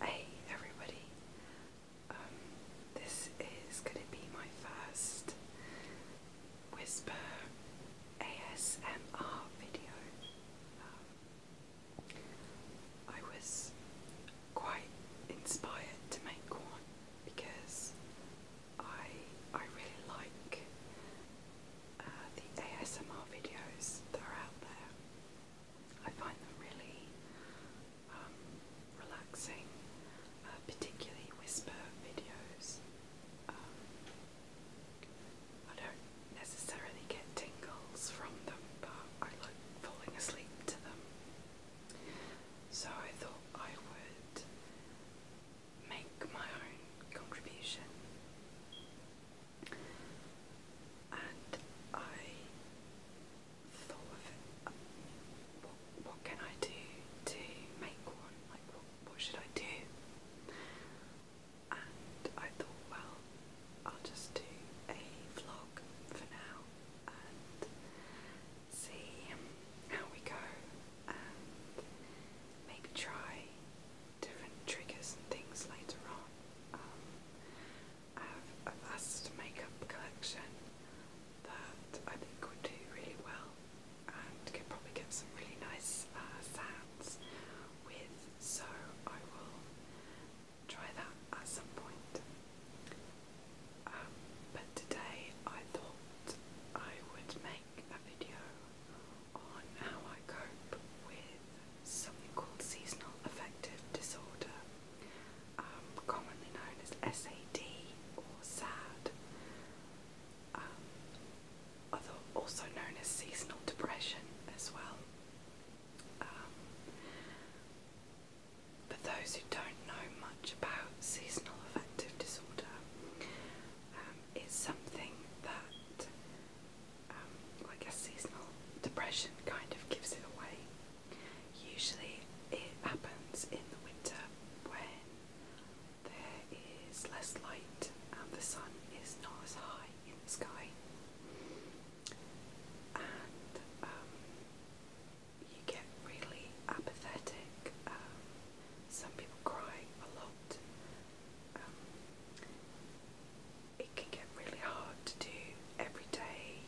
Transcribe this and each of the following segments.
Hey everybody, um, this is going to be my first Whisper ASMR video. Um, I was quite inspired to make one because I I really like uh, the ASMR videos that are out there. I find them really um, relaxing, uh, particularly whisper videos. Um, I don't necessarily get tingles from them, but I like falling asleep to them. So I thought I would make my own contribution and I thought of it, what, what can I do to make one? Like, what, should I do? And I thought, well, I'll just do a vlog for now and see how we go and maybe try different triggers and things later on. Um, I have a vast makeup collection that I think would do really well and could probably get some really nice uh, sounds with, so I will try that at some point. Um, but today I thought I would make a video on how I cope with something called seasonal affective disorder, um, commonly known as SAD or SAD, um, also known as seasonal depression as well. But um, those who don't know much about seasonal affective disorder, um, it's something that um, like seasonal depression kind of gives it away. Usually it happens in the winter when there is less light and the sun is not as high in the sky. And um, you get really apathetic. Um, some people cry a lot. Um, it can get really hard to do everyday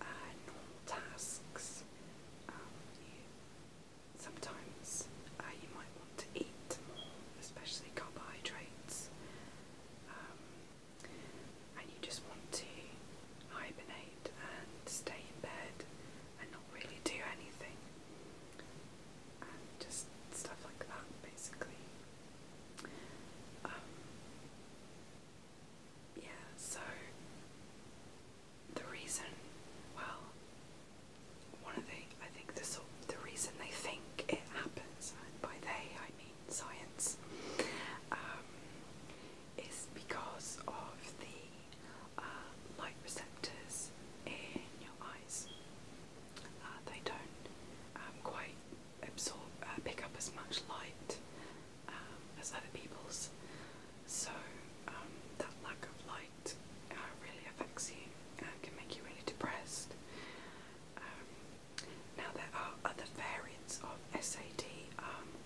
uh, normal tasks. Um, sometimes uh, you might want to eat more, especially carbohydrates, um, and you just want to hibernate and stay in bed and not really do anything, and just stuff like that basically. Um, yeah, so the reason, well, one of the, I think the sort, the reason they think it happens, and by they I mean science, um, is because of the uh, light receptors in your eyes. Uh, they don't um, quite absorb, uh, pick up as much light um, as other people's. So um, that lack of light uh, really affects you and can make you really depressed. Um, now there are other variants of SAD.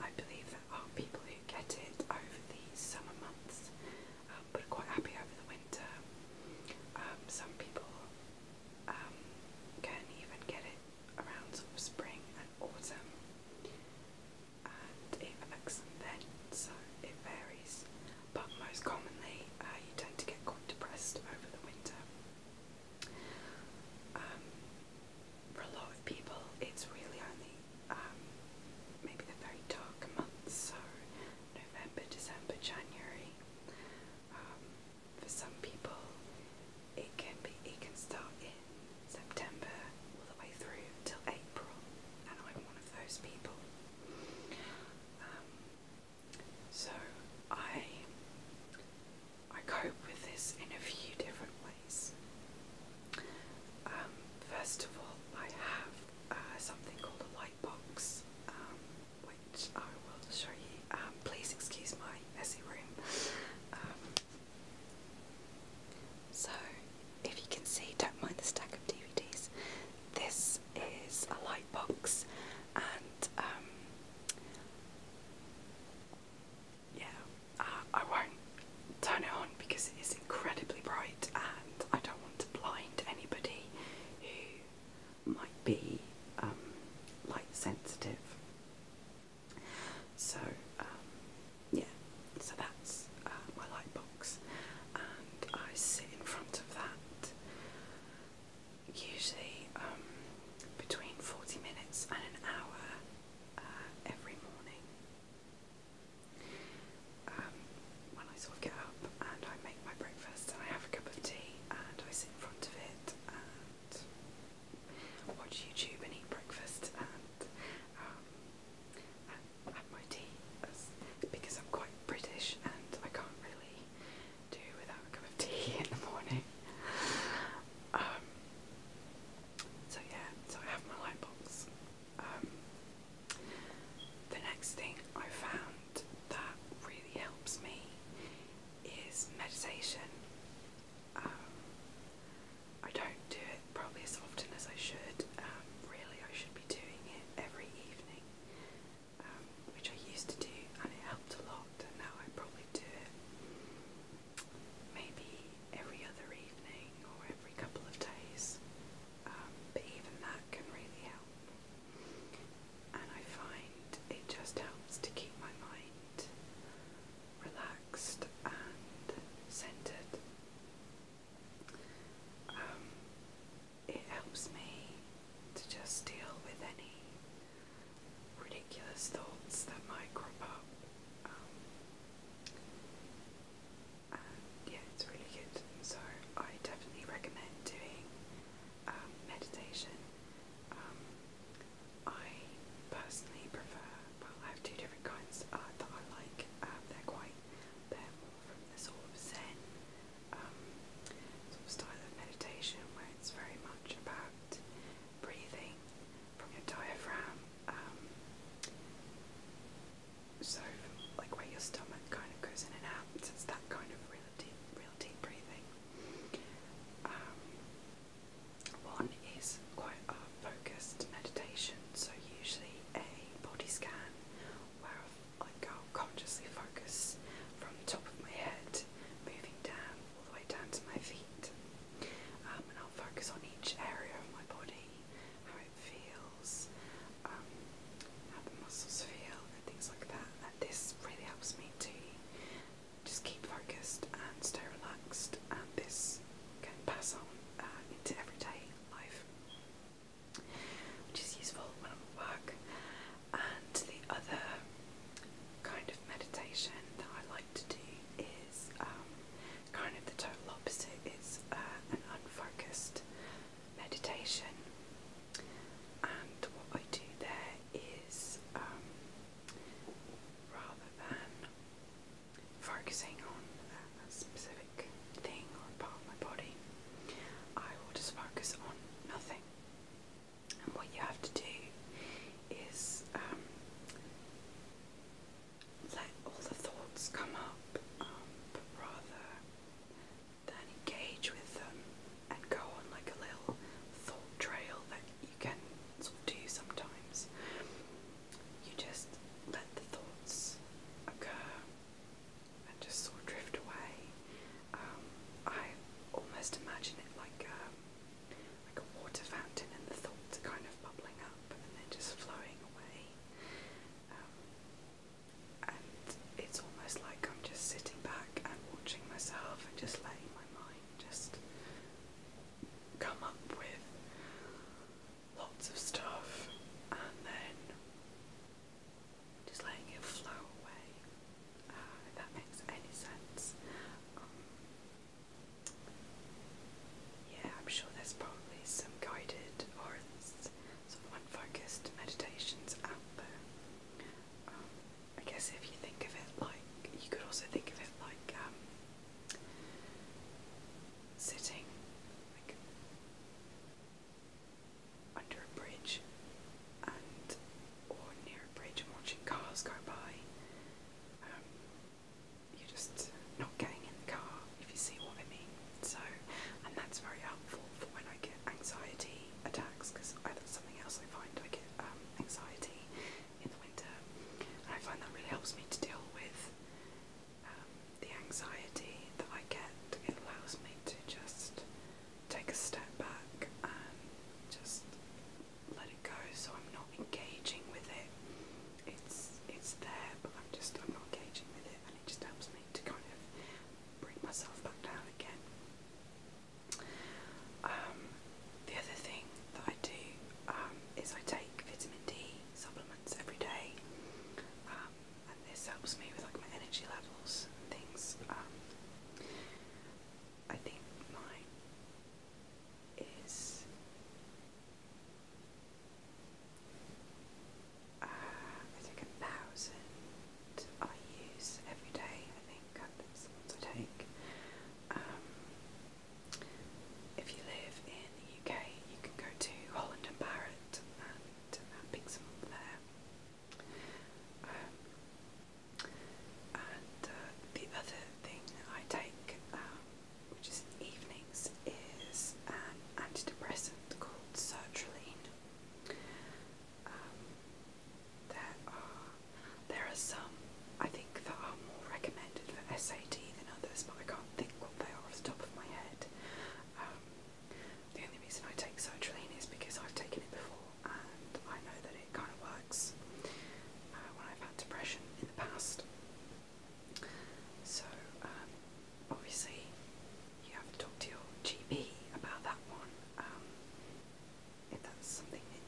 I believe there are people who get it over the summer months, uh, but are quite happy over the winter. some people um, can even get it around spring and autumn, and even excellent then. So it varies, but most commonly uh, you tend to get quite depressed over the winter. Um, for a lot of people, it's really only um, maybe the very dark months, so November, December, January. Um, for some people, it can be it can start in September all the way through till April, and I'm one of those people. Um, so I I cope with this in a few different ways. Um, first of all, I have uh, something called a light box which I will show you. Um, please excuse my messy room. Um, so, if you can see, don't mind the stack of DVDs. This is a light box, and um, yeah, uh, I won't turn it on because it is incredibly bright, and I don't want to blind anybody who might be um, light sensitive. So um, yeah, so that's uh, my light box, and I sit in front of that usually um, between forty minutes and an hour uh, every morning when I sort of get up and I make my breakfast and I have a cup of tea and I sit in front of it and watch YouTube and eat breakfast and um, have my tea because I'm quite British and I can't really do without a cup of tea in the morning. Um, so yeah, so I have my light um, the next thing I found that really helps me is meditation. Um, I don't do it probably as often as I should. Um, really, I should be doing it every evening, um, which I used to do, and it helped a lot. And now I probably do it maybe every other evening or every couple of days. but even that can really help and I find it just helps to keep my mind relaxed and centered. Um, it helps me to just deal with any ridiculous thoughts that might crop up. Um, yeah, it's really good. So I definitely recommend doing um, meditation. Um, I personally prefer, well, I have two different kinds uh, that I like. Um, they're quite, they're more from the sort of Zen style of meditation where it's very much about breathing from your diaphragm. so, like where your stomach kind of goes in and out, it's that kind of real deep, breathing. Um, one is quite a focused meditation, so usually a body scan where i go consciously focus from the top of my head, moving down all the way down to my feet. Um, and I'll focus on each area of my body, how it feels. Um, how the muscles feel, and things like that. And this really helps me to just keep focused and stay relaxed, and this can pass on uh, into everyday life, which is useful when I'm at work. And the other kind of meditation that I like to do is um, kind of the total opposite. It's uh, an unfocused meditation. And what I do there is um, rather than focusing on a specific thing or part of my body, I will just focus on nothing. And what you have to do is um, let all the thoughts come up, um, rather then engage with them and go on like a little thought trail that you can sort of do sometimes. You just let the thoughts occur and just sort of drift away. Um, I almost imagine it like a, um, like a water fountain and the thoughts are kind of bubbling up and then just flowing away. Um, and it's almost like I'm just sitting back and watching myself and just letting my mind just come up with lots of stuff and then just letting it flow away. Uh, if that makes any sense. Um, yeah, I'm sure there's probably some guided or sort of unfocused meditations out there. Um, I guess if you think of it like, you could also think of it like um, sitting under a bridge and or near a bridge and watching cars go by. Um, you're just not getting in the car if you see what I mean. So, and that's very helpful for when I get anxiety attacks because that's something else I find I get um, anxiety in the winter, I find that really helps me to deal with um, the anxiety that I get. It allows me to just take a step back and just let it go, so I'm not engaging with it. It's it's there, but I'm just I'm not engaging with it, and it just helps me to kind of bring myself back down again. Um, the other thing that I do um, is I take vitamin D supplements every day, um, and this helps me with like my energy levels and things. Um, I think mine is uh, I take a thousand I use every day, I think, um, if you live in the UK, you can go to Holland and Barrett and pick some up there. Um, and uh, the other thing I take, um, which is evenings, is an antidepressant called sertraline. Um, there are uh, there are some I think that are more recommended for SAT than others, but I can't think what they are off the top of my head. Um, the only reason I take sertraline is because I've taken it before and I know that it kind of works uh, when I've had depression in the past. So um, obviously you have to talk to your GP about that one. Um, if that's something that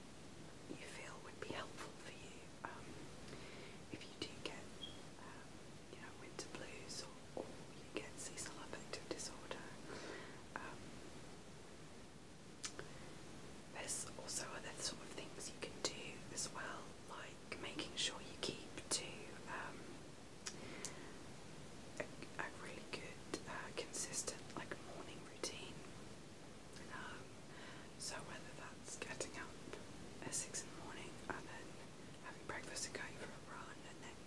you feel would be helpful for you, um, if you do get, um, you know, winter blues or, you get seasonal affective disorder, there's also other sort of things you can do as well, like making sure you keep to a, really good, uh, consistent like morning routine. Um, so whether that's getting up at six in the morning and then having breakfast and going for a run and then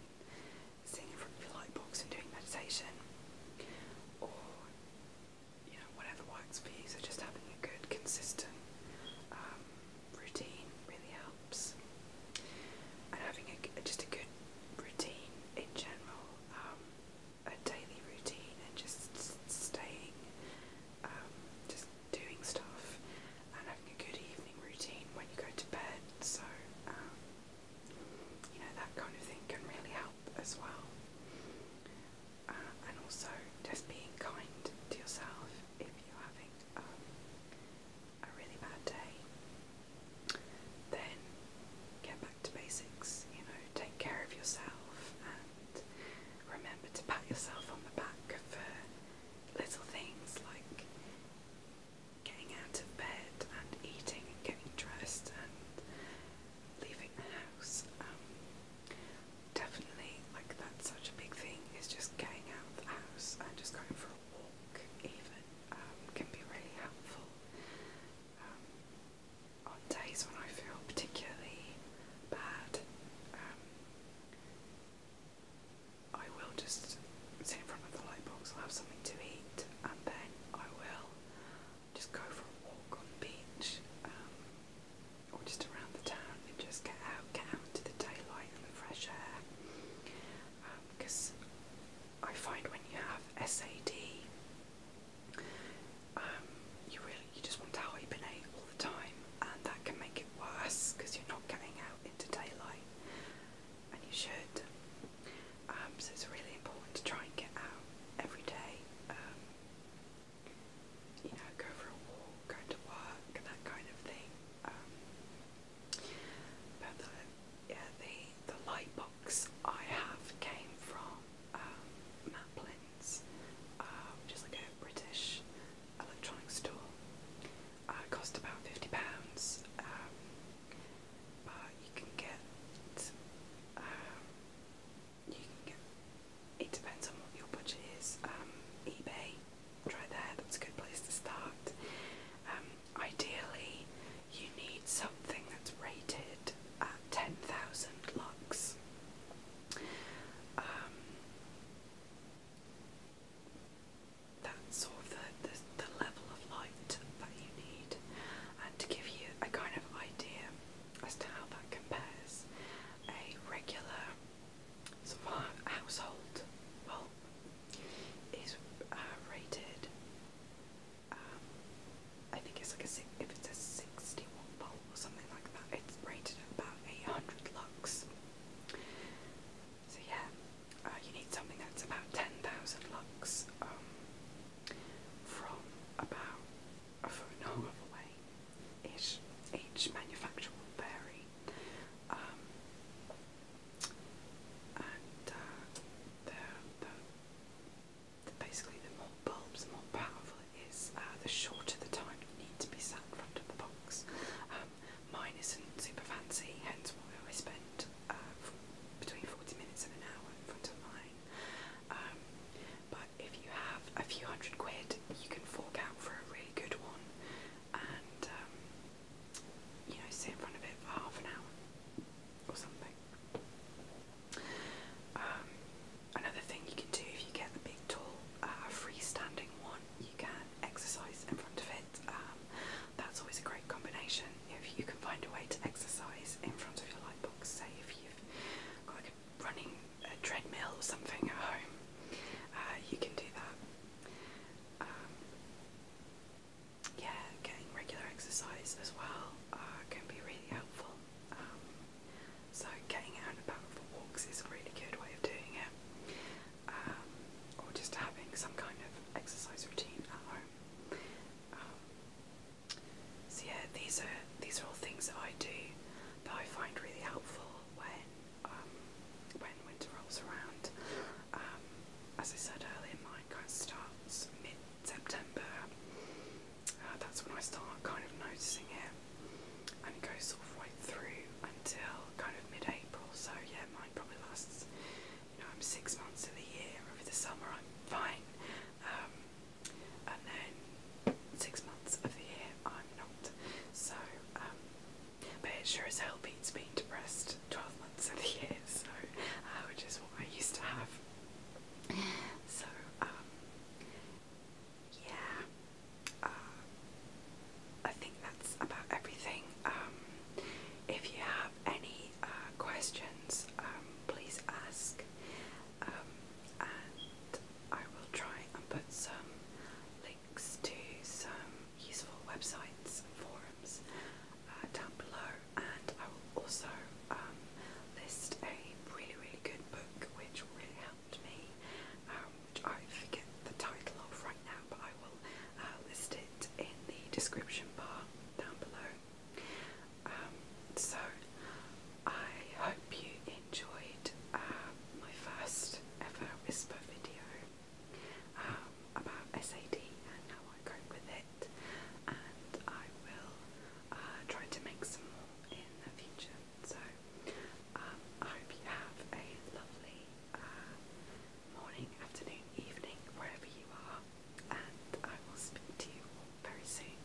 sitting in front of your lightbox and doing meditation, or you know whatever works for you. So just having a good, consistent um, routine really helps. And having a, just a good routine in general, um, a daily routine, and just staying, um, just doing stuff, and having a good evening routine when you go to bed. So, um, you know, that kind of thing can really help as well. Uh, and also, just being kind to yourself if you're having um, a really bad day, then get back to basics. You know, take care of yourself and remember to pat yourself on the back for little things like getting out of bed and eating and getting dressed and leaving the house. Um, definitely, like that's such a big thing is just getting out of the house and just going for a walk even um, can be really helpful. Um, on days when I feel particularly bad, um, I will just sit in front of the light box, I'll have something to eat, and then I will just go for a walk on the beach um, or just around the town and just get out. I'll get out into the daylight and the fresh air because um, I find when you have SAD, um, you really you just want to hibernate all the time, and that can make it worse because you're not getting out into daylight, and you should. Um, so it's really important to try and get out every day. Um, you know, go for a walk, go to work, that kind of thing. Um, but the, yeah, the, the light box I have came from um, Maplin's, uh, which is like a British electronics store. Uh, it cost about £50, um, but you can get, um, you can get, it depends on what your budget is, um, eBay try there, that's a good place to start. Um, ideally, you need something that's rated at 10,000 lux. Um, that's sort of the, the level of light that you need, and to give you a kind of idea as to how that compares, a regular so my household, well, is uh, rated. Um, I think it's like a if it's a sixty-one volt or something like that. It's rated at about eight hundred lux. So yeah, uh, you need something that's about ten thousand lux um, from about a phone and a away. Each, each manufacturer vary, um, and uh, they basically the more bulbs, the more powerful it is. Uh, the shorter the time you need to be sat in front of the box. Um, mine isn't super fancy, hence why I spend uh, between forty minutes and an hour in front of mine. Um, but if you have a few hundred quid, you can fork out for a really good one and um, you know sit in front of it for half an hour or something. Um, another thing you can do if you get the big tall uh, freestanding one, you can exercise in front of it. Um, that's always a great combination if you can find a way to exercise in front of your lightbox. Say if you've got like a running a treadmill or something at home, uh, you can do that. Um, yeah, getting regular exercise as well uh, can be really helpful. Um, so getting out and about for walks is a really good way of doing it. Um, or just having some kind of exercise routine at home. so yeah, these are these are all things that I do that I find really helpful when um, when winter rolls around. Um, as I said earlier, mine kind of starts mid September. Uh, that's when I start kind of noticing it, and it goes sort of right through until kind of mid April. So, yeah, mine probably lasts, you know, I'm six months of the year. Over the summer, I'm fine. Um, and then six months of the year I'm not. So, um, but it sure as hell beats being depressed 12 months of the year, so, uh, which is what I used to have. So, um, yeah, uh, I think that's about everything. Um, if you have any uh, questions, um, please ask, um, and I will try and put some links links to some useful websites and forums uh, down below, and I will also um, list a really, really good book which really helped me, um, which I forget the title of right now, but I will uh, list it in the description bar down below. Um, so, I hope you enjoyed um, my first ever whisper video um, about SAD and how I cope with it, and I will uh, try to make some more in the future. So um, I hope you have a lovely uh, morning, afternoon, evening, wherever you are, and I will speak to you all very soon.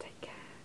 Take care.